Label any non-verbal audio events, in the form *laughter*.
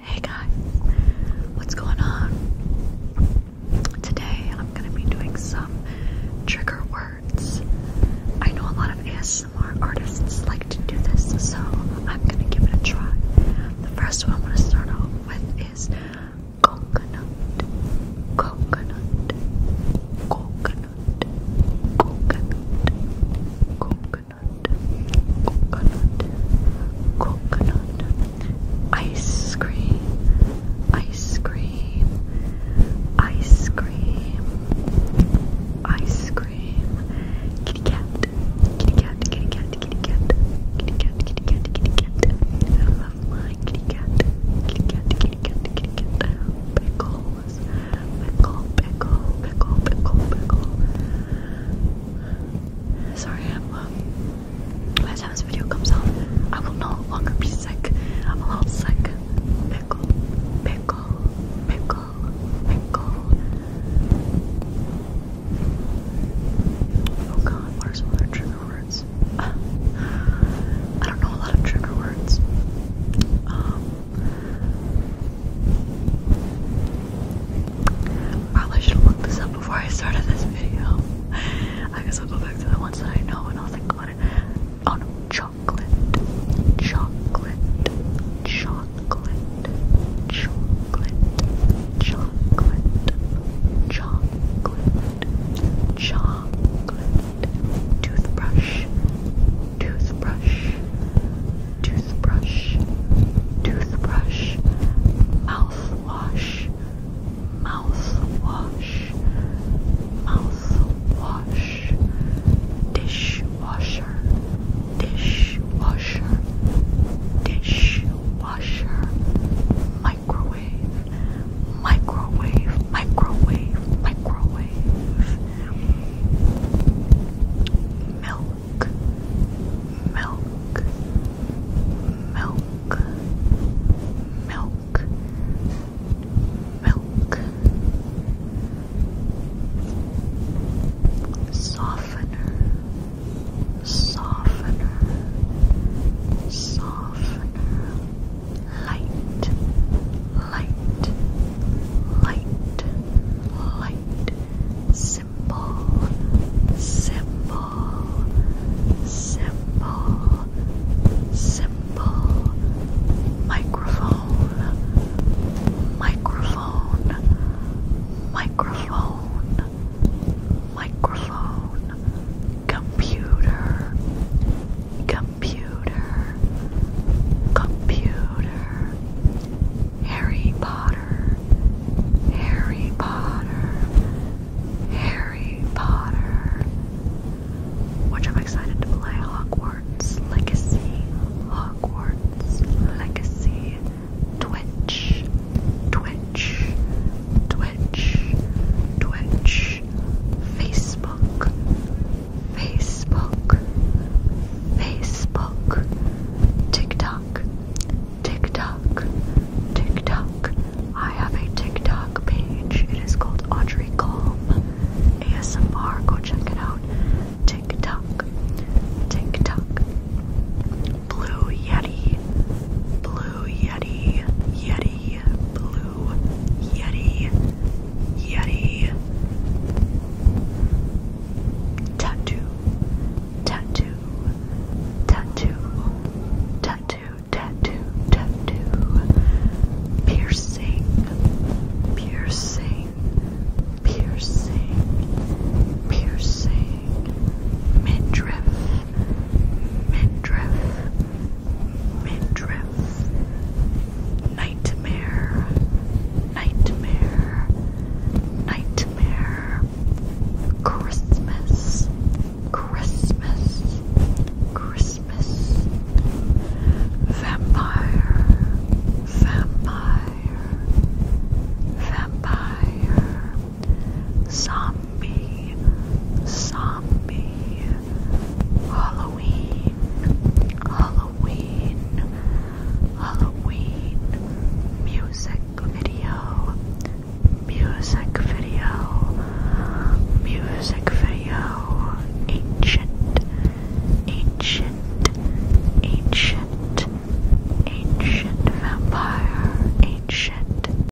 Hey guys, what's going on? Today I'm going to be doing some trigger words. I know a lot of ASMR artists like to do this, so I'm going to give it a try. The first one I'm going to start off with is coconut, coconut, coconut, coconut, coconut, coconut, coconut, ice cream, ice cream, ice cream, ice cream, kitty cat, kitty cat, kitty cat, kitty cat, kitty cat, kitty cat, kitty cat. I love my kitty cat, kitty cat, kitty cat, kitty cat, pickles pickle, pickle, pickle, pickle, pickle. Sorry, I'm, um, by the time this video comes out, I will no longer be sick. I'm a little sick. Pickle, pickle, pickle, pickle. Oh god, what are some other trigger words? *sighs* I don't know a lot of trigger words. Um, Probably should have looked this up before I started this video. I guess I'll go back to the ones that I know and I'll think about it. Oh no, chocolate, chocolate, chocolate, chocolate, chocolate, chocolate, chocolate, toothbrush, toothbrush, toothbrush, toothbrush, mouthwash, mouthwash, mouthwash, dishwasher, dishwasher, dishwasher, microwave, microwave, microwave, microwave milk, milk, milk, milk, milk, softener, softener, softener light, light, light, light, symbol, symbol, symbol, symbol, microphone, microphone, microphone, microphone, computer. Computer, computer, Harry Potter, Harry Potter, Harry Potter, which I'm excited to play Hogwarts Legacy, Hogwarts Legacy, Twitch, Twitch, Twitch, Twitch, Facebook. Facebook, Facebook, TikTok, TikTok, TikTok. I have a TikTok page. It is called Audrey Calm ASMR. Go check it out. TikTok, TikTok. Blue Yeti, Blue Yeti, Yeti, Blue Yeti Yeti tattoo tattoo tattoo tattoo tattoo tattoo piercing piercing piercing piercing midriff midriff, midriff, nightmare, nightmare, nightmare, Christmas, Christmas, Christmas, vampire, vampire, vampire, zombie zombie, Halloween, Halloween, Halloween, music video, music video, music video, ancient, ancient, ancient, ancient vampire, ancient.